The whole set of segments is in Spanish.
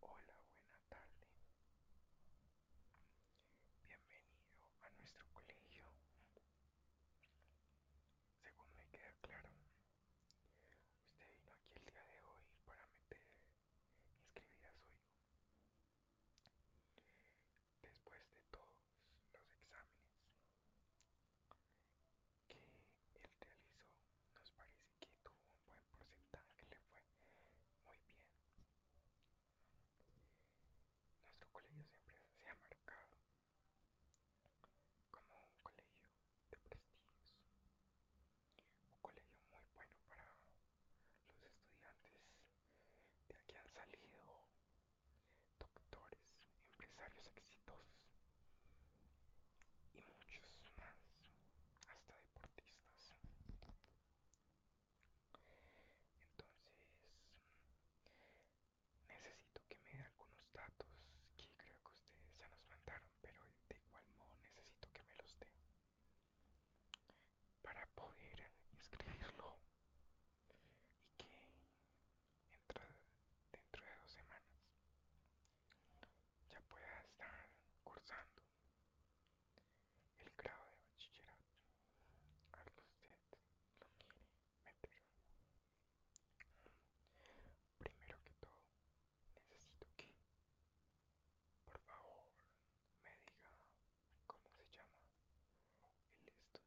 Hola. Hola, buena tarde. Bienvenido a nuestro colegio. Según me queda claro, usted vino aquí el día de hoy para meter inscribir a su hijo. Después de todos los exámenes que él realizó nos parece que tuvo un buen porcentaje, le fue muy bien. Nuestro colegio siempre se ha marcado como un colegio de prestigio, un colegio muy bueno para los estudiantes de aquí han salido doctores, empresarios exitosos y muchos más, hasta deportistas. Entonces, necesito que me dé algunos datos que creo que ustedes ya nos mandaron, pero de igual modo necesito que me los dé para poder escribirlo y que dentro, dentro de dos semanas ya pueda estar cursando el grado de bachillerato al usted lo quiere meter. Primero que todo, necesito que, por favor, me diga cómo se llama el estudiante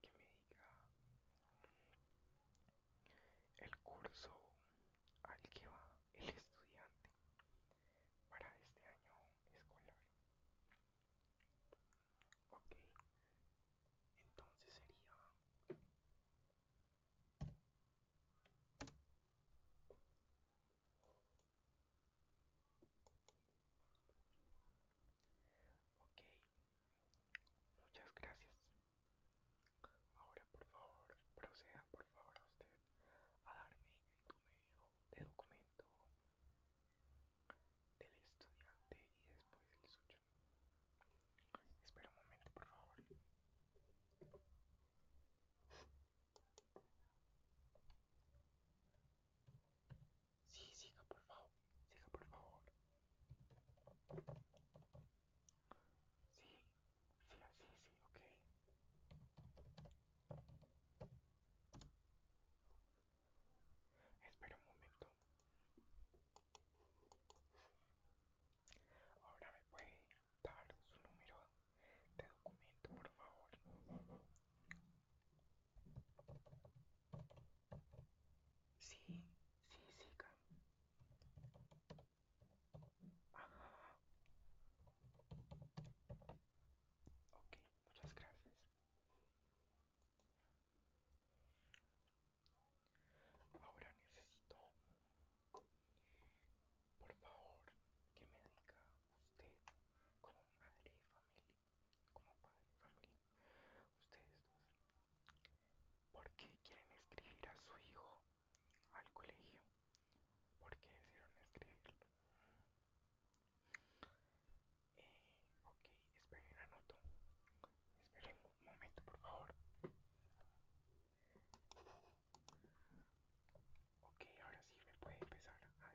que me diga el curso al que va el estudiante para este año escolar. Ok, entonces sería Ok, muchas gracias. Ahora, por favor, proceda, por favor, a usted a darme tu medio de documento del estudiante y después el suyo. Espera un momento, por favor. Sí, siga por favor. Siga por favor. Sí, sí, sí, sí, ok. Espera un momento. Ahora me puede dar su número de documento, por favor. Sí, sí, sí, Ajá. Ok, muchas gracias. Ahora necesito, por favor, que me diga usted con madre y familia como padre ustedes porque ¿por qué quieren escribir a su hijo al colegio? ¿Por qué decidieron escribirlo? Eh, ok, esperen, anoto. Esperen un momento, por favor. Ok, ahora sí me puede empezar a dictar.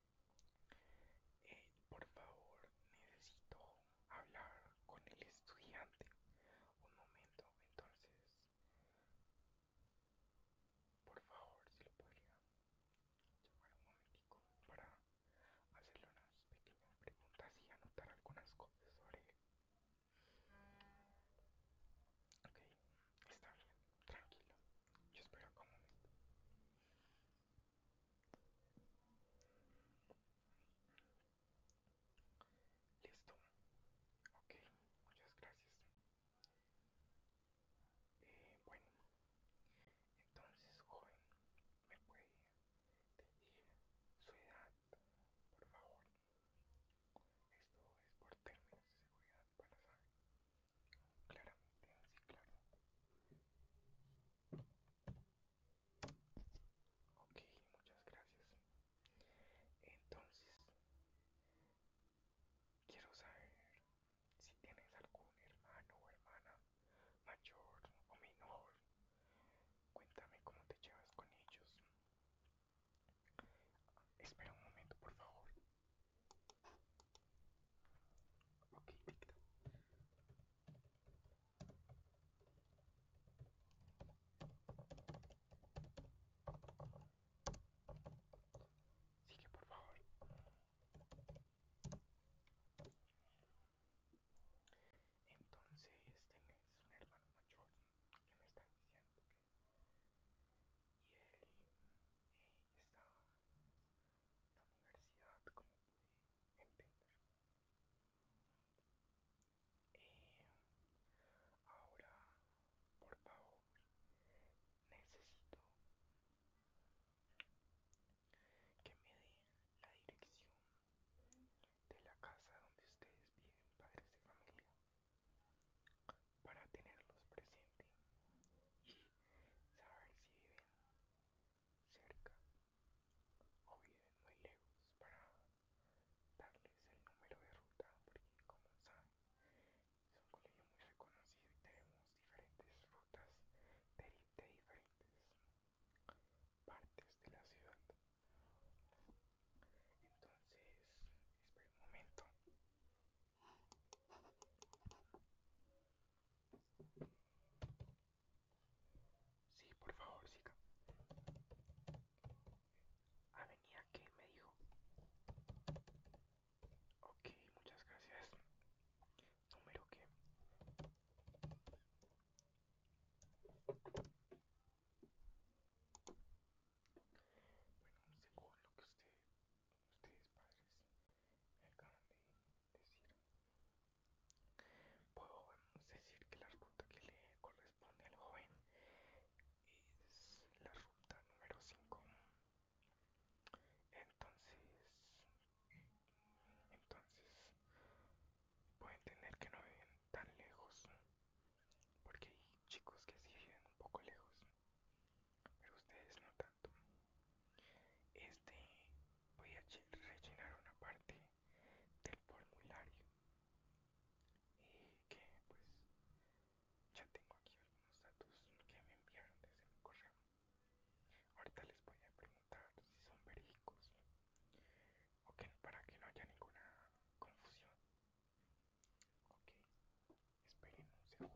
Eh, por favor, necesito hablar con el estudiante. Un momento, entonces. Por favor, si lo podría llamar un momentico para hacerle unas pequeñas preguntas y anotar algunas cosas sobre él. Ok, está bien, tranquilo. Yo espero que un momento. Listo. Ok, muchas gracias. Eh, bueno, entonces, joven, ¿me puede decir su edad, por favor? Esto es por términos de seguridad para saber claramente, sí, claro. Ok, muchas gracias. Entonces, quiero saber si tienes algún hermano eh, o hermana mayor o menor. Cuéntame cómo te llevas con ellos. Espera un momento, por favor. Ok, Sigue, por favor. Entonces, este es un hermano mayor que me está diciendo Y él eh, está la universidad como puede entender eh, ahora por favor necesito que me den la dirección de la casa donde ustedes viven padres de familia para tenerlos presentes y saber si viven cerca o bien muy lejos para darles el número de ruta porque como saben es un colegio muy reconocido y tenemos diferentes rutas de, diferentes partes de la ciudad entonces espera un momento Sí, por favor, siga. Avenida ah, que me dijo. Ok, muchas gracias. Número que. Bueno, según lo que usted ustedes padres me acaban de decir. Puedo decir que la ruta que le corresponde al joven es la ruta número 5. Entonces, entonces pueden tener que no viven tan lejos, porque hay chicos que sí viven un poco lejos pero ustedes no tanto. Este, voy a rellenar una parte del formulario Y eh, que pues ya tengo aquí algunos datos que me enviaron desde mi correo. Ahorita les voy a preguntar si son verídicos o para que no haya ninguna confusión. Ok, esperen un segundo.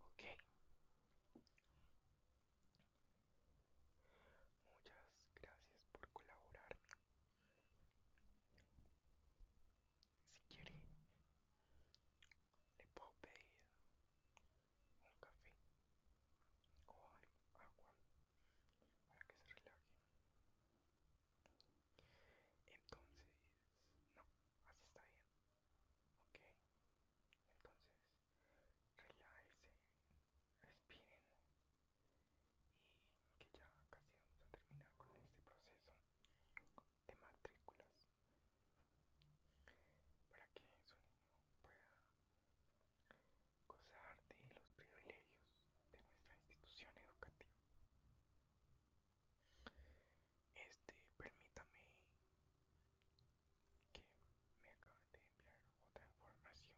Ok. Muchas gracias por colaborar. Si quiere, le puedo un café o agua para que se relaje. Entonces, no, así está bien. Ok, entonces relájense, respiren y que ya casi vamos a terminar con este proceso de matrículas para que su niño pueda gozar de los privilegios de nuestra institución educativa. Este, permítame que me acabe de enviar otra información.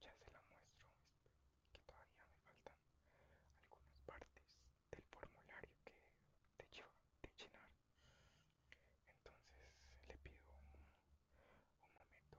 Ya se la muestro, que todavía me faltan algunas partes del formulario que te lleva de llenar. Entonces le pido un momento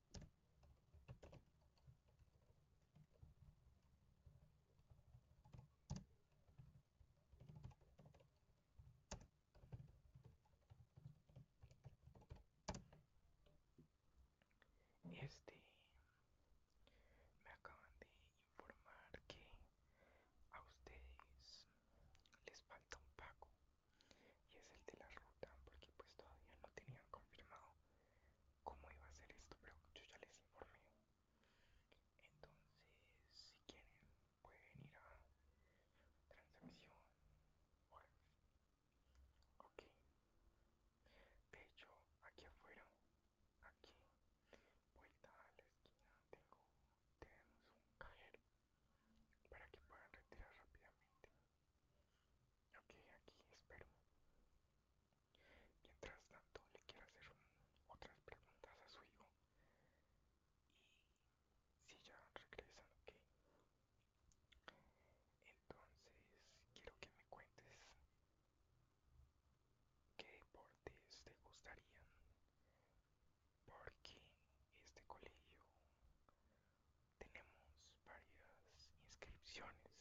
Este me acaban de informar que a ustedes les falta un pago y es el de la ruta porque pues todavía no tenían confirmado cómo iba a ser esto pero yo ya les informé entonces si quieren pueden ir a transmisión ok de hecho aquí afuera aquí vuelta a la esquina tengo tenemos un cajero para que puedan retirar rápidamente Ok, aquí espero. Mientras tanto, le quiero hacer otras preguntas a su hijo. Y si ya regresan, ok. Entonces, quiero que me cuentes qué deportes te gustarían. Porque este colegio tenemos varias inscripciones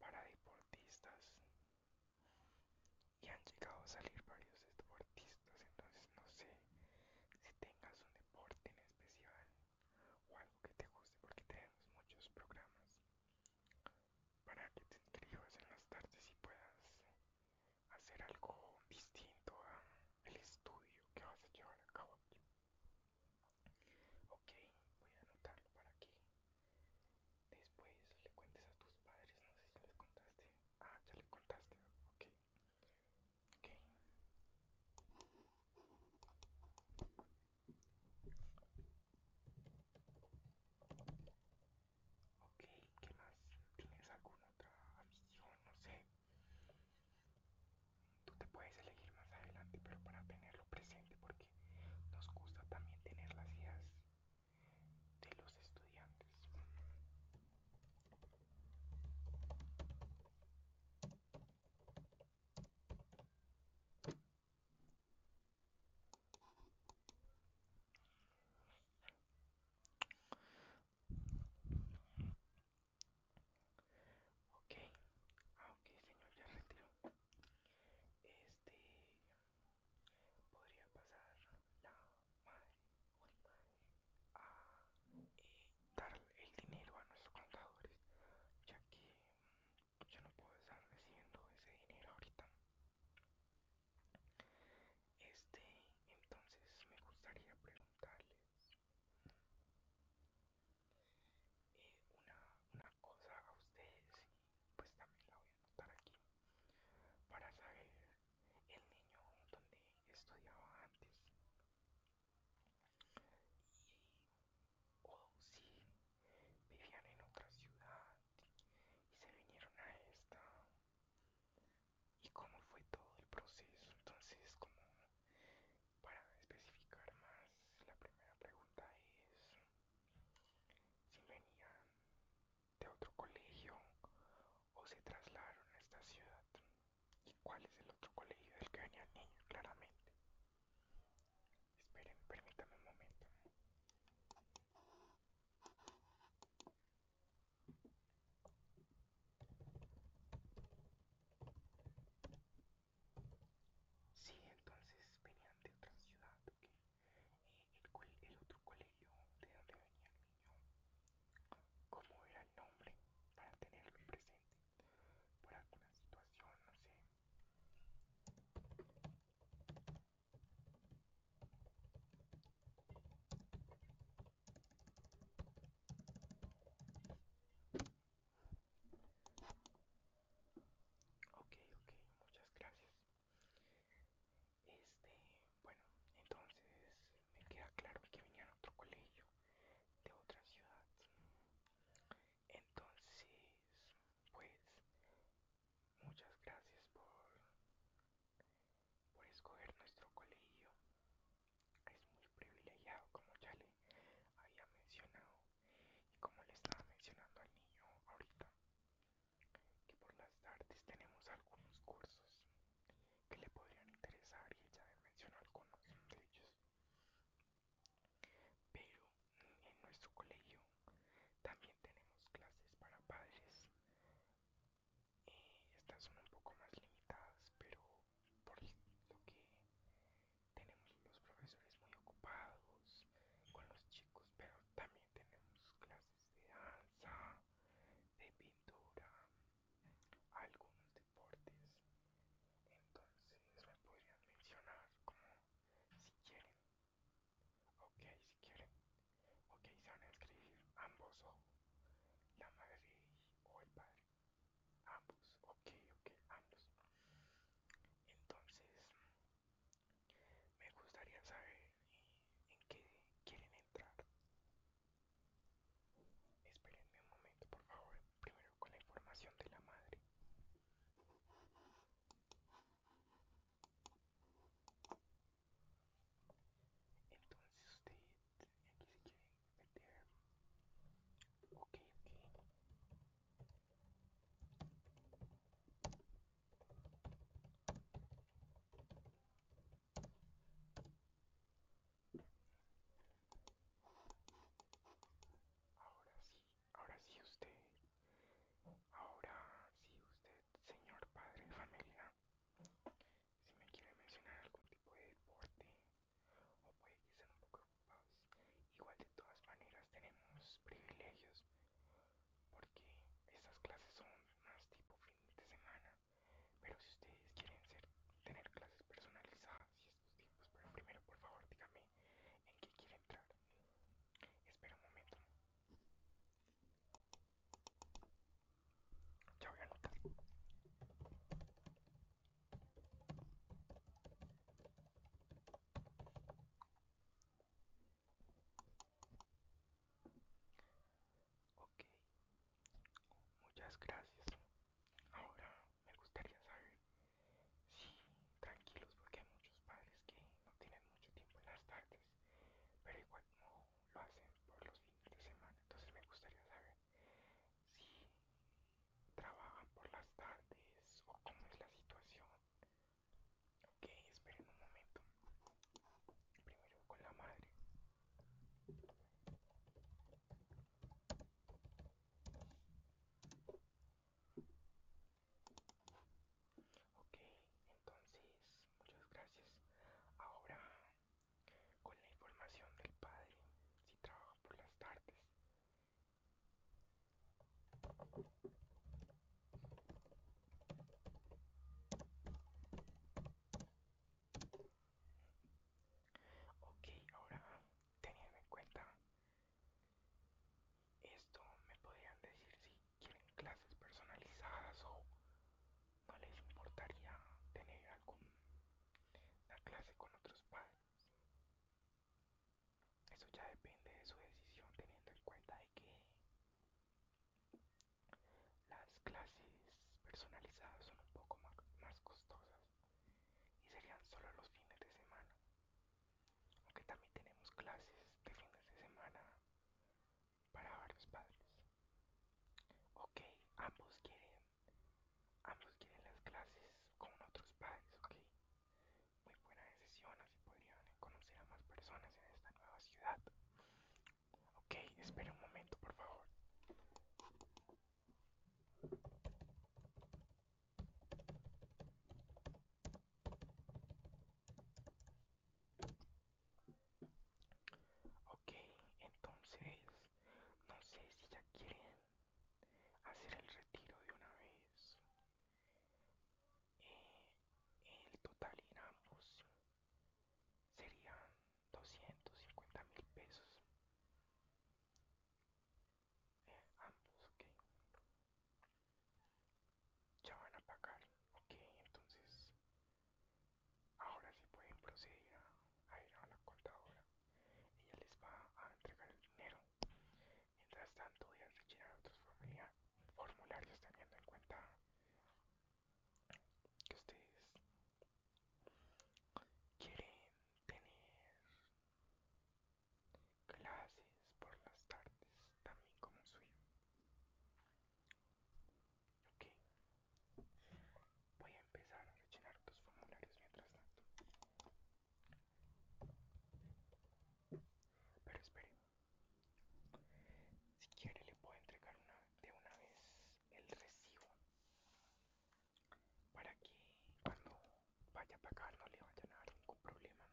para deportistas y han llegado a salir varios deportistas entonces no sé si tengas un deporte en especial o algo que te guste porque tenemos muchos programas para que te inscribas en las tardes y puedas hacer algo distinto a el estudio que vas a llevar a cabo aquí. Ok, voy a anotarlo para aquí. después le cuentes a tus padres. No sé si les contaste. Ah, ya le contaste. Ok. Ok. Ok, ¿qué más? ¿Tienes alguna otra afición? No sé. Tú te puedes elegir más adelante, pero para tenerlo presente, porque nos gusta también tener las ideas de los estudiantes. Ok, aunque ah, el señor, ya retiro. Este, podría pasar la madre a eh, dar el dinero a nuestros contadores, ya que mm, yo no puedo estar recibiendo ese dinero ahorita. Este, entonces me gustaría preguntarles eh, una, cosa a ustedes y pues también la voy a anotar aquí para saber el niño donde estudiaba antes y o oh, si vivían en otra ciudad y se vinieron a esta y cómo fue todo el proceso. Entonces, como para especificar más, la primera pregunta es si venían de otro colegio o se trasladaron a esta ciudad y cuál es el otro colegio del que venía el niño, claramente. Esperen, permítanme un momento. Sí, entonces venían de otra ciudad, okay. Eh, el, el otro colegio de donde venía el niño, cómo era el nombre para tenerlo presente, por alguna situación, no sé. Ok, ok, muchas gracias. Este, bueno, entonces me queda claro que venía a otro colegio de otra ciudad. Entonces, pues, muchas gracias por, por escoger nuestro colegio es muy privilegiado como ya le había mencionado y como le estaba mencionando al niño ahorita que por las tardes tenemos algunos cursos que le podrían interesar y ya le mencionó algunos de ellos pero en nuestro colegio también tenemos clases para padres y estas son un poco más limitadas, pero por lo que tenemos los profesores muy ocupados con los chicos, pero también tenemos clases de danza, de pintura, algunos deportes. Entonces me podrían mencionar como si quieren. Ok, si quieren. Ok, se van a escribir ambos o la madre o el padre. Ambos, ok, ok, ambos. Entonces, me gustaría saber en qué quieren entrar. Espérenme un momento, por favor, primero con la información de la madre. Entonces usted, aquí se quiere meter. Ok, ok. Ahora sí, ahora sí usted, ahora sí usted, señor padre de familia, si me quieren mencionar algún tipo de deporte o puede que un poco ocupados, igual de todas maneras tenemos privilegios porque estas clases son más tipo fin de semana, pero si ustedes quieren tener clases personalizadas y estos tipos, pero primero por favor dígame en qué quiere entrar. Espera un momento. Ya Ok, muchas gracias. Ahora me gustaría saber si, tranquilos, porque hay muchos padres que no tienen mucho tiempo en las tardes, pero igual no lo hacen por los fines de semana. Entonces me gustaría saber si trabajan por las tardes o cómo es la situación. Ok, esperen un momento. Primero con la madre. Ok, entonces, muchas gracias. Ahora con la información del padre si trabaja por las tardes. Ok, ahora teniendo en cuenta esto, me podrían decir si quieren clases personalizadas o no les importaría tener alguna clase con otros padres. Eso ya depende de su decisión teniendo en cuenta de que las clases personalizadas son un poco más, más costosas y serían solo los fines de semana. Aunque también tenemos clases de fines de semana para varios padres. Ok, ambos quieren, ambos quieren las clases con otros padres, ok. Muy buena decisión, así podrían conocer a más personas en esta nueva ciudad. Ok, espera un momento, por favor. Ok, entonces no sé si ya quieren hacer el retiro de una vez. Eh, el total en ambos serían 250 mil pesos. Eh, ambos, ya van a pagar. Ok, entonces ahora sí pueden proceder a, ir a la contadora. Ella les va a entregar el dinero. Mientras tanto, ya rellenar otros formularios teniendo en cuenta que ustedes quieren tener clases por las tardes, también como suyo. Ok. Voy a empezar a rellenar tus formularios mientras tanto. Pero espere. Si quiere le puedo entregar una, de una vez el recibo. Para que cuando vaya a pagar no le vaya a dar ningún problema.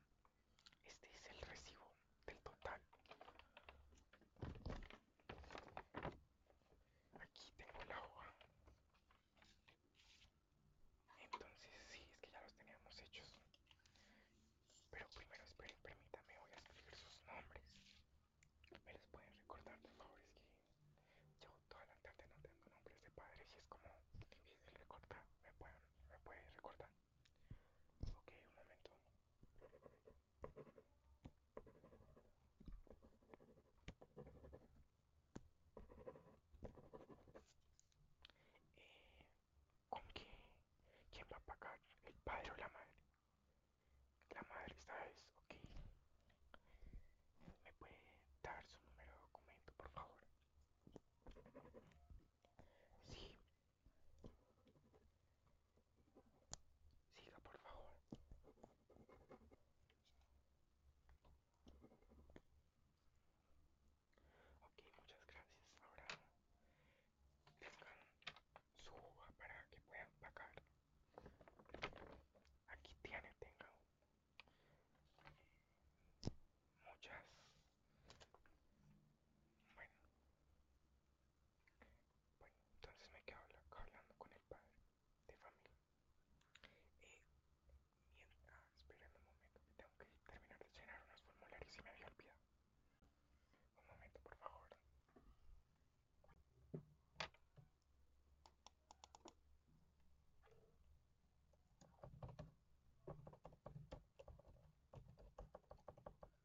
Este es el recibo del total. Aquí tengo la hoja. Entonces, sí, es que ya los teníamos hechos. Pero primero, esperen, permítame, voy a escribir sus nombres. ¿Me los pueden recordar, por favor? Es que yo toda la tarde no tengo nombres de padres y es como ¿Me pueden, me pueden recordar? Ok, un momento. Eh, ¿Con qué? ¿Quién va a pagar? ¿El padre o la madre? La madre esta vez, ok. ¿Me puede dar su número de documento, por favor? Sí, Siga, por favor. Ok, muchas gracias. Ahora tengan su para que puedan pagar. Aquí tiene, Tengo muchas bueno. Bueno, entonces me quedo hablando con el padre de familia. y eh, mientras, ah, esperando un momento, que tengo que terminar de llenar unos formularios y me había olvidado. Un momento, por favor.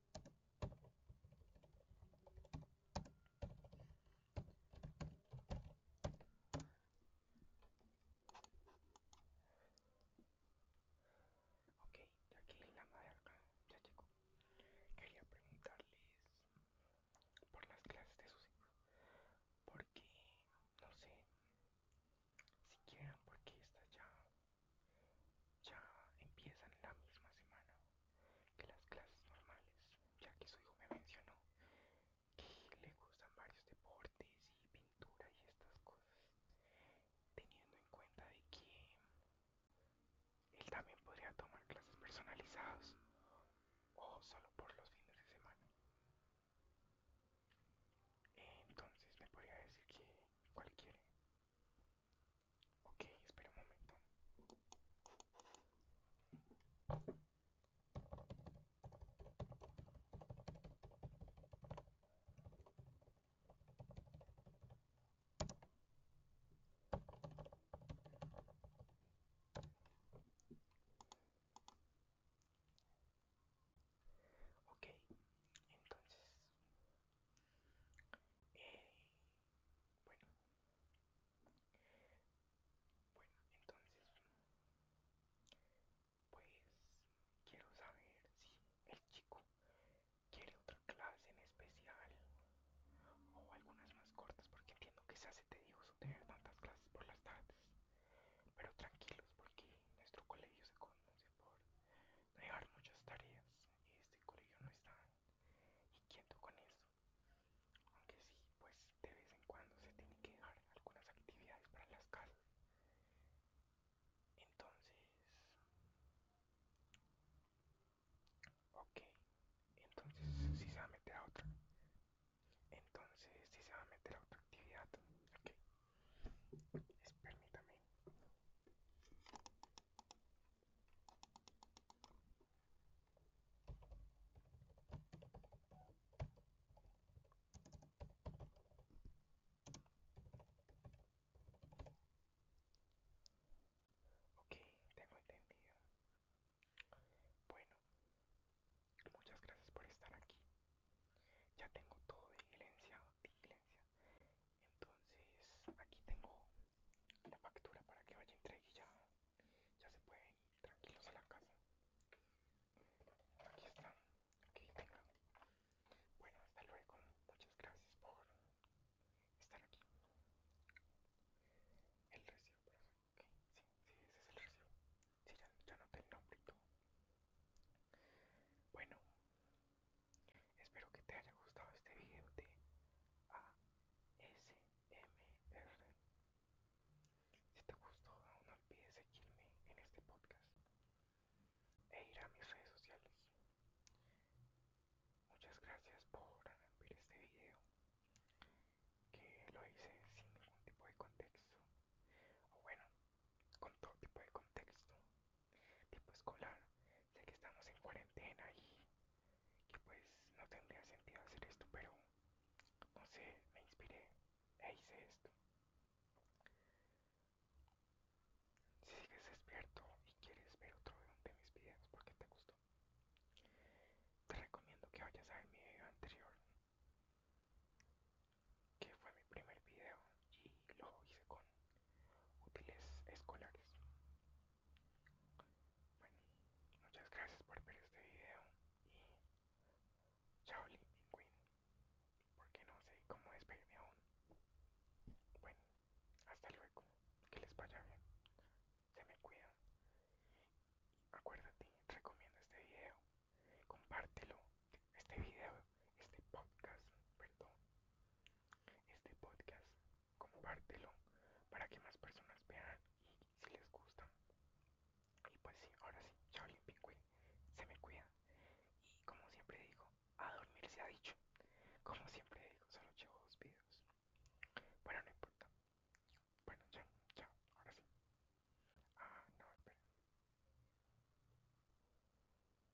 Ok, aquí la acá, ya llegó. Quería preguntarles por las clases de sus hijos. Porque, no sé, si quieren porque está ya ya empiezan la misma semana que las clases normales, ya que su hijo me mencionó que le gustan varios deportes y pintura y estas cosas, teniendo en cuenta de que él también podría tomar clases personalizadas o solo por los fines de semana. Entonces me podría decir que cualquiera Okay, espera un momento. Okay, entonces bueno, bueno, entonces, pues quiero saber si el chico quiere otra clase en especial o algunas más cortas, porque entiendo que se hace tedioso tener tantas clases por las tardes. Pero tranquilos, porque nuestro colegio se conoce por no muchas tareas y este colegio no está ¿Y quieto con eso. Aunque sí, pues de vez en cuando se tiene que dejar algunas actividades para las casas. Entonces... Ok, entonces si ¿sí se va a meter a otra. Entonces si ¿sí se va a meter a otra actividad. Ok. Permítame. Ok, tengo entendido. Bueno, muchas gracias por estar aquí. Ya tengo todo diligenciado, diligencia entonces aquí tengo la factura para que vaya entregue y ya, se pueden ir tranquilos a la casa aquí está aquí tengo. bueno hasta luego muchas gracias por estar aquí el recibo por eso sí, ese es el recibo sí ya, no tengo el nombre bueno Espero que te haya gustado este video de ASMR. Si te gustó, no olvides seguirme en este podcast e ir a mis redes sociales. Muchas gracias por ver este video, que lo hice sin ningún tipo de contexto, o bueno, con todo tipo de contexto, tipo escolar, Sé que estamos en cuarentena y que pues no tendría sentido hacer esto, pero no sé, me inspiré e hice esto. Si sigues despierto y quieres ver otro de mis videos porque te gustó, te recomiendo que vayas a ver mi video anterior, que fue mi primer video y lo hice con útiles escolares. Bueno, muchas gracias por ver este video y chao porque no sé cómo despedirme aún. Bueno, hasta luego, que les vaya bien, se me cuidan. Acuérdate, recomiendo este video, compártelo, este video, este podcast, perdón este podcast, compártelo para que más personas vean y si les gusta. Y pues sí, ahora sí, chao Pingüe se me cuida. Y como siempre digo, a dormir se ha dicho. Como siempre digo, solo llevo dos videos. Bueno, no importa. Bueno, ya, chao, ahora sí. Ah, no, espera.